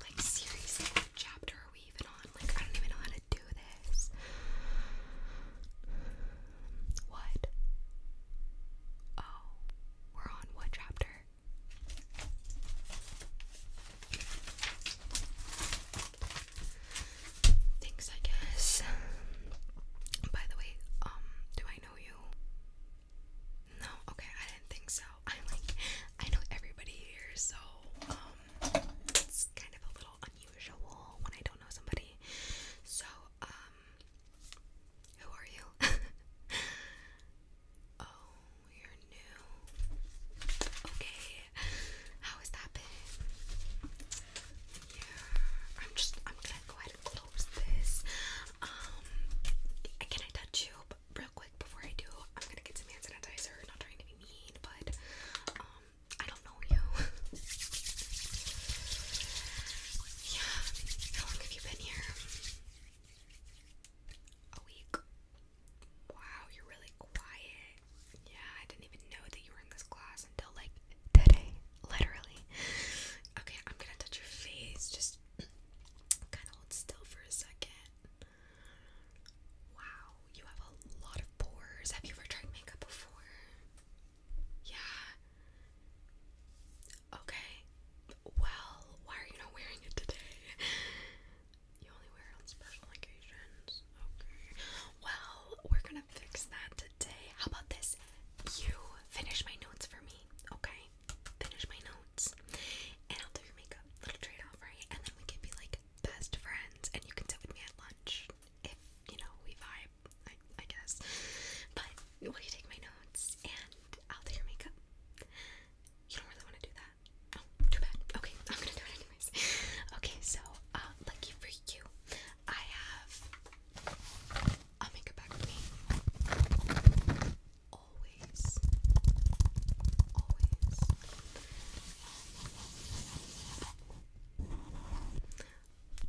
Like, seriously, what chapter are we even on? Like, I don't even know how to do this. What? Oh, we're on what chapter? Thanks, I guess. By the way, um, do I know you? No, okay, I didn't think so. I like I know everybody here, so um, it's kind of a little unusual when I don't know somebody. So, um who are you? oh, you're new. Okay. How has that been? Yeah. I'm just I'm gonna go ahead close this. Um, can I touch you real quick before I do? I'm gonna get some hand sanitizer. Not trying to be mean, but um, I don't know you. yeah. How long have you been here? A week. Wow, you're really quiet. Yeah, I didn't even know that you were in this class until like today, literally. Okay, I'm gonna touch your face. Just kind of hold still for a second. Wow, you have a lot of pores. Have you ever tried makeup before? Yeah. Okay. Well, why are you not wearing it today? You only wear it on special occasions. Okay. Well, we're gonna fix that today. How about this? You finish my notes for okay? Finish my notes, and I'll do your makeup. Little trade off, right? And then we can be like best friends, and you can sit with me at lunch if you know we vibe, I, guess. But will you take my notes, and I'll do your makeup? You don't really want to do that. Oh, too bad. Okay, I'm gonna do it anyways. Okay, so uh, lucky for you, I have a makeup bag with me. Always. Always.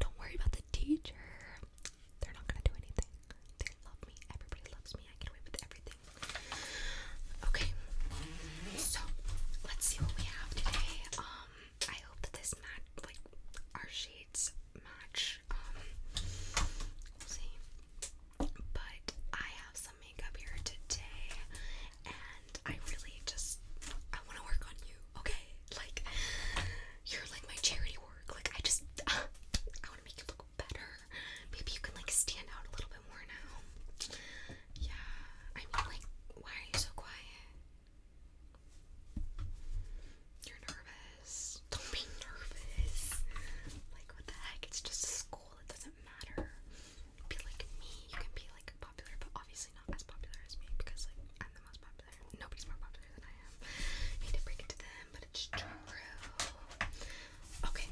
Don't worry about the teacher. They're not gonna do anything. They love me. Everybody loves me. I get away with everything. Okay. So let's see what we have today. Um I hope that this match like our shade dates match. Um, we'll see. But I have some makeup here today, and I really just I want to work on you. Okay, like you're like my charity work. Like I just I want to make you look better. Maybe you can like stand out a little bit more now. Yeah, I mean like why are you so quiet? You're nervous. Don't be nervous. Like, what the heck? It's just school. It doesn't matter. Be like me. You can be like popular, but obviously not as popular as me because, like, I'm the most popular. Nobody's more popular than I am. I to break it them, but it's true. Okay.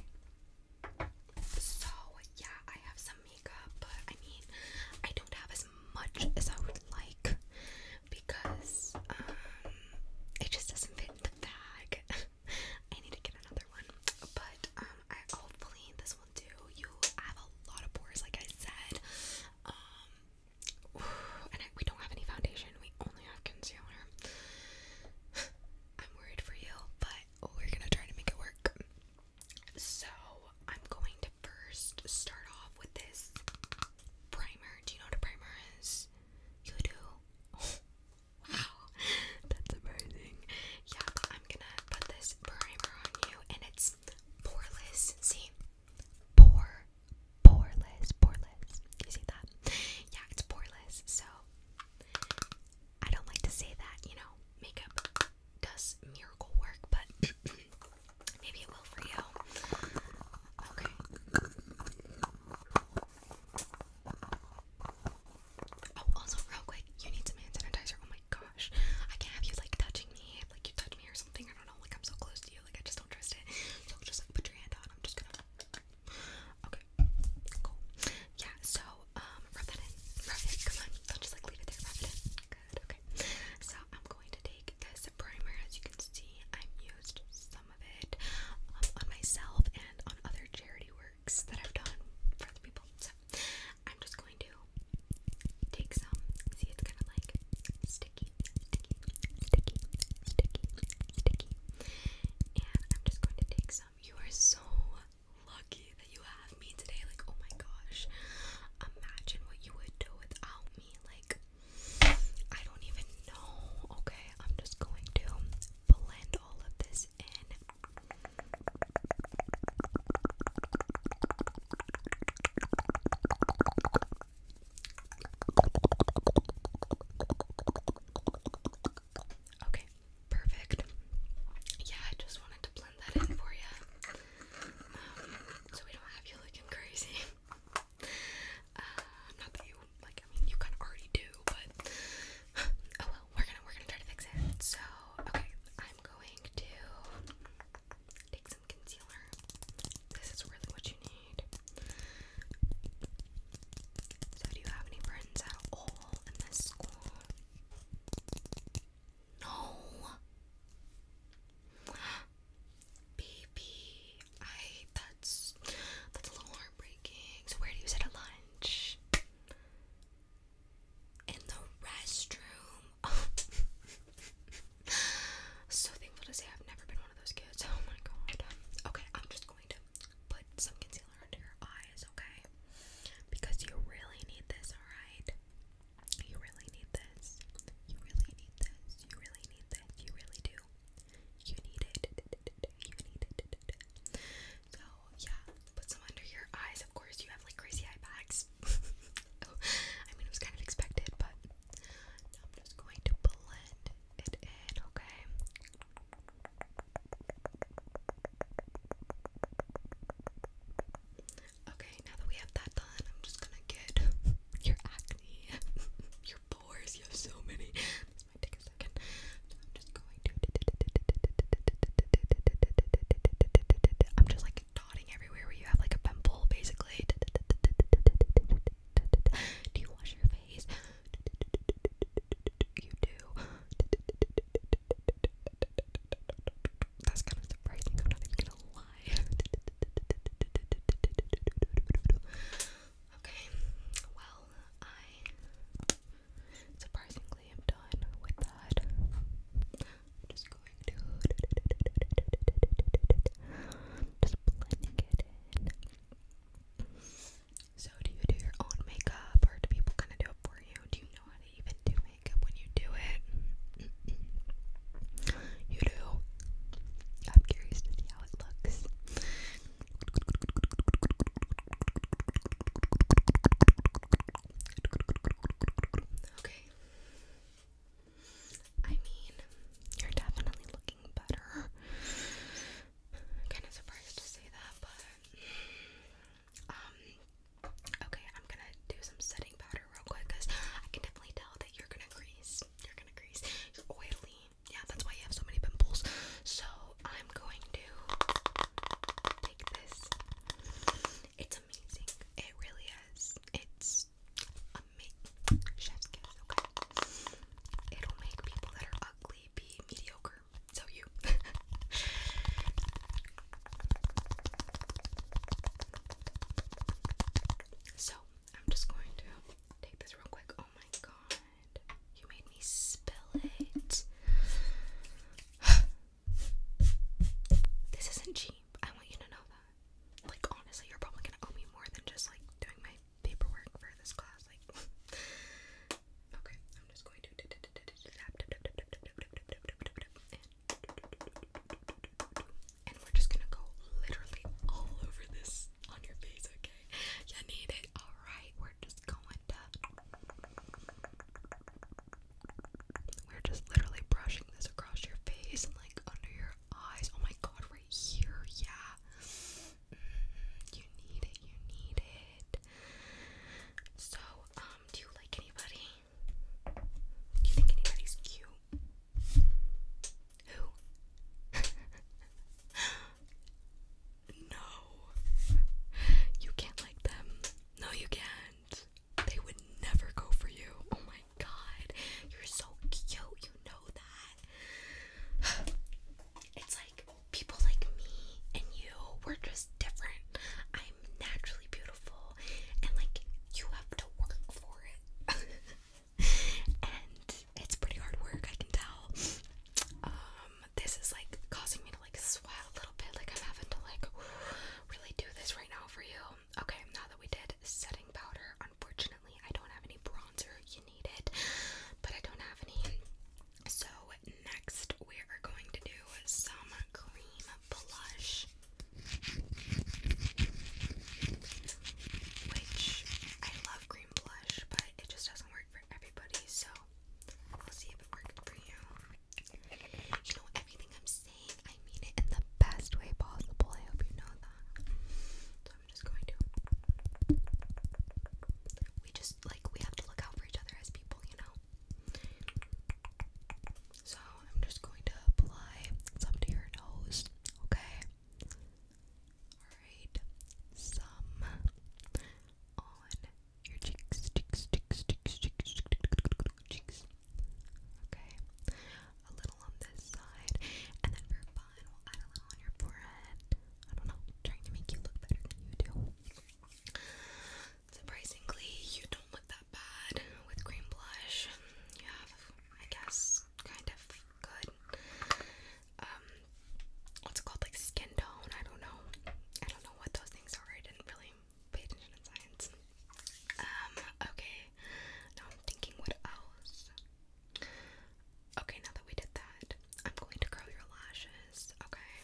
So, yeah, I have some makeup, but I mean, I don't have as much as I would like because um, it just doesn't fit in the bag. I need to get another one, but um, I hopefully this will do. You have a lot of pores, like I said. Um, and we don't have any foundation. We only have concealer. I'm worried for you, but we're gonna try to make it work. So I'm going to first start off with this primer. Do you know what a primer is? You do? wow, that's amazing. Yeah, I'm gonna put this primer on you, and it's poreless. See, pore, poreless, poreless. You see that? Yeah, it's poreless. So I don't like to say that. You know, makeup does miracle work, but Maybe it will for you. Okay. Oh, also, real quick, you need some hand sanitizer. Oh my gosh, I can't have you like touching me, like you touch me or something. I don't know, like I'm so close to you, like I just don't trust it. So just like put your hand on. I'm just gonna. Okay, cool. Yeah. So um, rub that in. Rub it. Come on. Don't just like leave it there. Rub it in. Good. Okay. So I'm going to take this primer. As you can see, I've used some of it um, on myself and on other charity works that I've done for other people. So I'm just going to take some. See, it's kind of like sticky, sticky, sticky, sticky, sticky. And I'm just going to take some. You are so lucky that you have me today. Like, oh my gosh. Imagine what you would do without me. Like, I don't even know. Okay, I'm just going to blend all of this in. Okay, perfect. Yeah, I just wanted to blend that in for you. Um, so we don't have you looking crazy. Uh, not that you like. I mean, you kind of already do, but oh well. We're gonna we're gonna try to fix it. So okay, I'm going to take some concealer. This is really what you need. So do you have any friends at all in this school? No. Baby, I that's that's a little heartbreaking. So where do you sit at lunch? In the restroom. so thankful to say I've never been one of those kids. Oh my god. Okay, I'm just going to put some concealer under your eyes, okay? Because you really need this, alright? You really need this. You really need this. You really need it. You really do. You need it. You need it. So, yeah, put some under your eyes. Of course, you have like crazy eye bags. Oh, I mean, it was kind of expected, but I'm just going to blend it in, okay? Okay, now that we have that done, I'm just gonna get your acne You're pores. You have so many. I'm just going to. I'm just like dotting everywhere where you have like a pimple, basically. Do you wash your face? You do. That's kind of surprising okay, well, I surprisingly am done with that. I'm just going to just blending it So, do you do your own makeup, or do people kind of do it for you? Do you know how to even do makeup when you do it? You do. I'm curious to see how it looks. Okay. I mean, you're definitely looking better. kind of surprised to say that, but um, okay, I'm gonna do some setting powder real quick because I can definitely tell that you're gonna crease. You're gonna crease. You're oily. Yeah, that's why you have so many pimples. So I'm going to take this. It's amazing. It really is. It's amazing. It'll make people that ugly be mediocre. So you. so I'm just going to take this real quick. Oh my god. You made me spill it. this isn't cheap. I want you to know that. Like, honestly, you're probably gonna owe me more than just like doing my paperwork for this class. Like, okay, I'm just going to. And and we're just gonna go literally all over this on your face, okay? You need it. Alright, we're just going to. We're just literally brushing this across your face and like under your eyes. Oh my god, right here, yeah. Mm-hmm, you need it, you need it. So, um, do you like anybody? Do you think anybody's cute? Who? no. You can't like them. No, you can't. They would never go for you. Oh my god. You're so cute. You know that. It's like people like me and you, we just different. I'm naturally beautiful and like you have to work for it. and it's pretty hard work, I can tell. Um, this is like causing me to like sweat a little bit, like I'm having to like really do this right now for you. Okay, now that we did setting powder, unfortunately, I don't have any bronzer, you need it, but I don't have any. So, next, we are going to do some cream blush. Which I love green blush, but it just doesn't work for everybody, so i will see if it works for you. You know, everything I'm saying, I mean it in the best way possible. I hope you know that. So I'm just going to. We just, like, we have to look out for each other as people, you know? So I'm just going to apply some to your nose, okay? Alright, some on your cheeks, cheeks, cheeks, cheeks, cheeks, cheeks. Okay, a little on this side, and then for fun, we'll add a little on your forehead. I don't know, trying to make you look better than you do. Surprisingly, you don't look that bad with cream blush. You have I guess, kind of good. Um, what's it called? Like skin tone? I don't know. I don't know what those things are. I didn't really pay attention in science. Um, okay. Now I'm thinking what else? Okay, now that we did that, I'm going to curl your lashes, okay?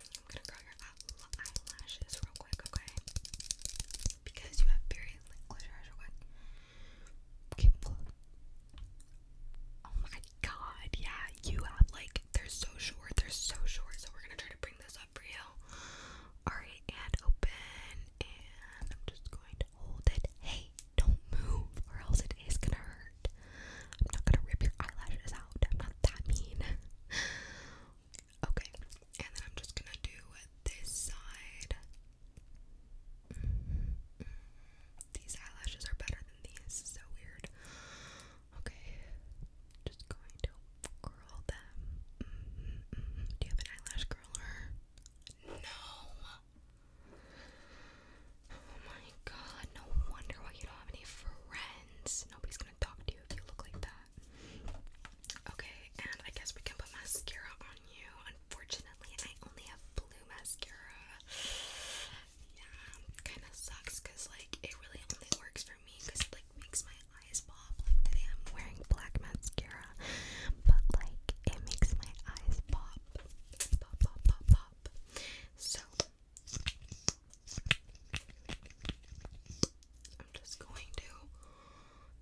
I'm gonna curl your eyelashes real quick, okay? Because you have very liquid real quick. Oh my god, yeah, you have like, they're so short, they're so short, so we're gonna try to bring this up for you. Alright, and open, and I'm just going to hold it. Hey, don't move, or else it is gonna hurt. I'm not gonna rip your eyelashes out, I'm not that mean. okay, and then I'm just gonna do this side. Mm-hmm. These eyelashes are better than these. So weird. Okay, just going to curl them. Mm -hmm, mm -hmm. Do you have an eyelash curler? No. Oh my god, no wonder why you don't have any friends. Nobody's gonna talk to you if you look like that. Okay, and I guess we can put mascara on you unfortunately, I only have blue mascara. Yeah, kind of sucks because like it really only works for me because like makes my eyes pop. Like today, I'm wearing black mascara, but like it makes my eyes pop, pop, pop, pop, pop. So. I'm just going to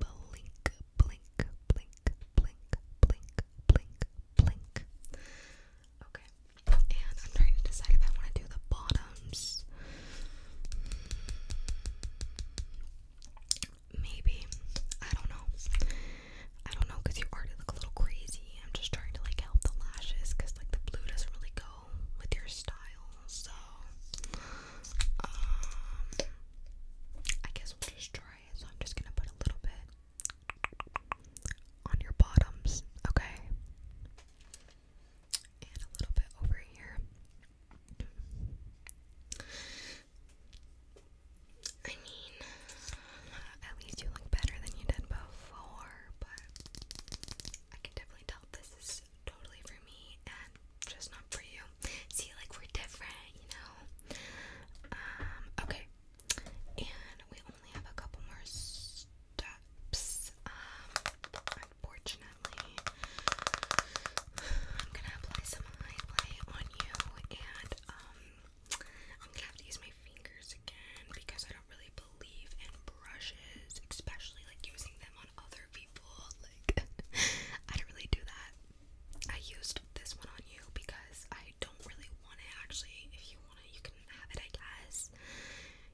Blink, blink, blink, blink, blink, blink, blink. Okay, and I'm trying to decide if I want to do the bottoms. Maybe. I don't know. I don't know because your art look a little crazy. I'm just trying to like help the lashes because like the blue doesn't really go with your style. So, um, I guess we'll just try it. So I'm just gonna put a little bit on your bottoms, okay? And a little bit over here. I mean, at least you look better than you did before, but I can definitely tell this is totally for me just not for you. See, like we're different, you know. Um, okay. And we only have a couple more steps. Um, unfortunately, I'm gonna apply some highlight on you, and um, I'm gonna have to use my fingers again because I don't really believe in brushes, especially like using them on other people. Like, I don't really do that. I used this one on you because I don't really want it actually. If you want it, you can have it, I guess.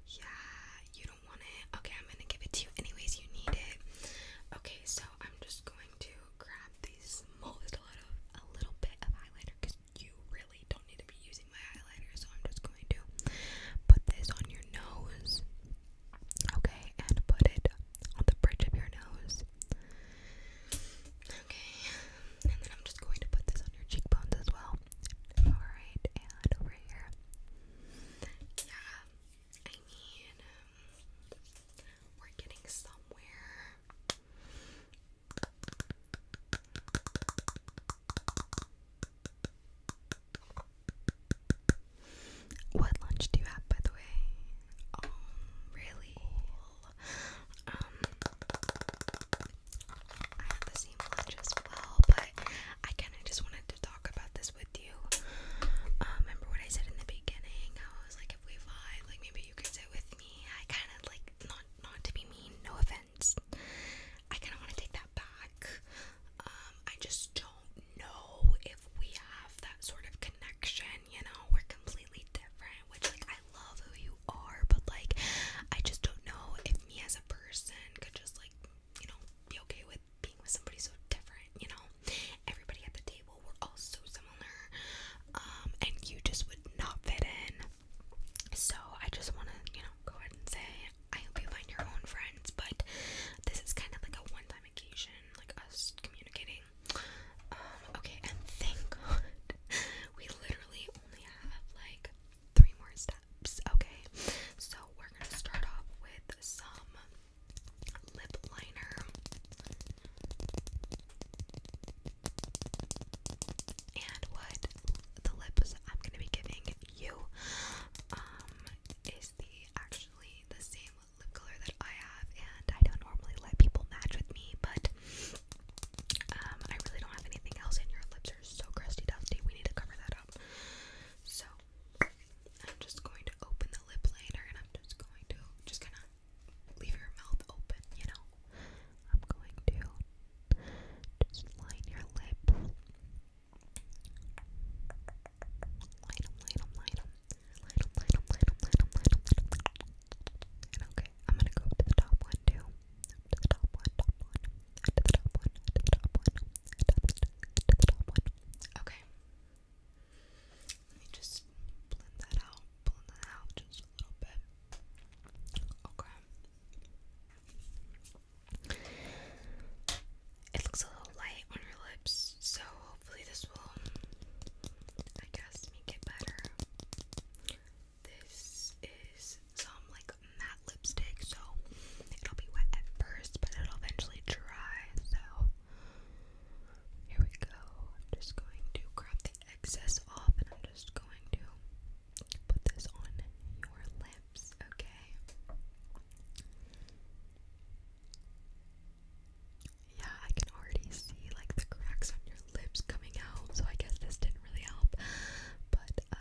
Yeah, you don't want it. Okay, I'm gonna give it to you anyways. You need it. Okay, so I'm just going to grab the smallest little bit of highlighter because you really don't need to be using my highlighter. So I'm just going to put this on your nose. Okay, and put it on the bridge of your nose. Okay, and then I'm just going to put this on your cheekbones as well. Alright, and over here. Yeah, I mean, um, we're getting somewhere. What lunch do you have, by the way? Um, really? Um, I had the same lunch as well, but I kind of just wanted to talk about this with you. Um, remember what I said in the beginning? I was like, if we vibe, like maybe you could sit with me. I kind of like not not to be mean, no offense. I kind of want to take that back. I just don't know if we have that sort of connection you know, we're completely different, which like I love who you are, but like I just don't know if me as a person could just like, you know, be okay with being with somebody so different, you know. Everybody at the table were all so similar. Um, and you just would not fit in. So I just wanna, you know, go ahead and say I hope you find your own friends, but this is kind of like a one time occasion, like us communicating um, okay, and thank God we literally only have like three more steps. Okay, so we're gonna start off with some lip liner. And what the lips I'm gonna be giving you um is the actually the same lip color that I have, and I don't normally let people match with me, but um, I really don't have anything else, and your lips are so crusty dusty. We need to cover that up. So I'm just going to open the lip liner, and I'm just going to just kind of leave your mouth open, you know. I'm going to just line your lip. Light them, light them, Light up, okay, I'm gonna go to the top one too. to the top one, top one, to the top one, to the top one, to the top one. Okay. Let me just blend that out, blend that out just a little bit. Okay it looks a little light on your lips, so hopefully this will, I guess, make it better. This is some like matte lipstick, so it'll be wet at first, but it'll eventually dry. So here we go. I'm just going to grab the excess off, and I'm just going to put this on your lips. Okay. Yeah, I can already see like the cracks on your lips coming out, so I guess this didn't really help. But uh,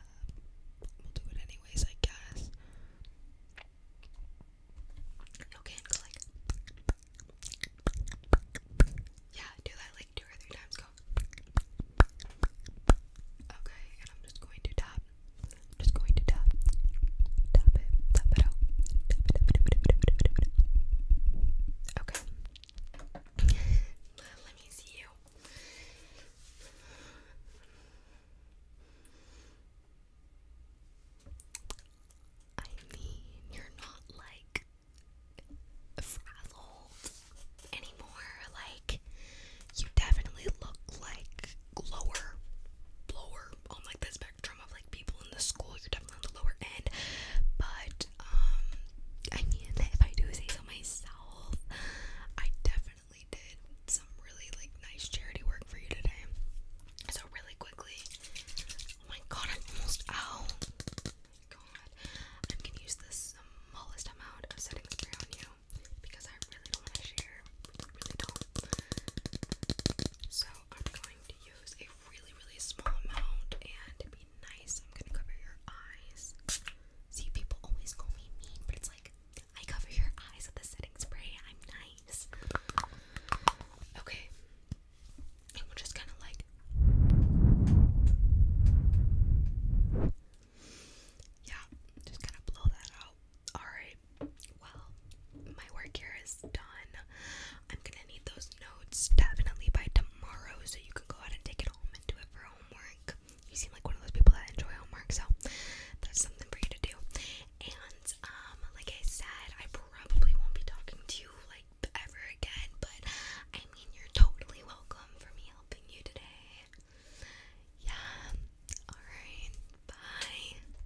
we'll do it anyways, I guess. Okay, yeah, do that like two or three times. Okay, and I'm just going to tap. just going to tap. Tap it, tap it out. Tap it, Okay. Let me see you. I mean, you're not like frazzled anymore. Like, you definitely look like glower, blower on like this spectrum of like people in the school. You're definitely on the lower end. But um I mean if I do say so myself, I definitely did some really like nice charity work for you today. So really quickly. Oh my god, I'm almost out. God, I'm gonna use the smallest amount of setting spray on you because I really want to share. So I'm going to use a really, really small amount and to be nice, I'm gonna cover your eyes. See, people always call me mean, but it's like I cover your eyes with the setting spray. I'm nice. Okay. And we'll just kind of like. Yeah, just kind of blow that out. Alright, well, my work here is done. I'm gonna need those notes definitely by tomorrow so you can go out and take it home and do it for homework. You seem like one of those people that enjoy homework, so that's something for you to do. And, um, like I said, I probably won't be talking to you like ever again, but I mean, you're totally welcome for me helping you today. Yeah, alright, bye.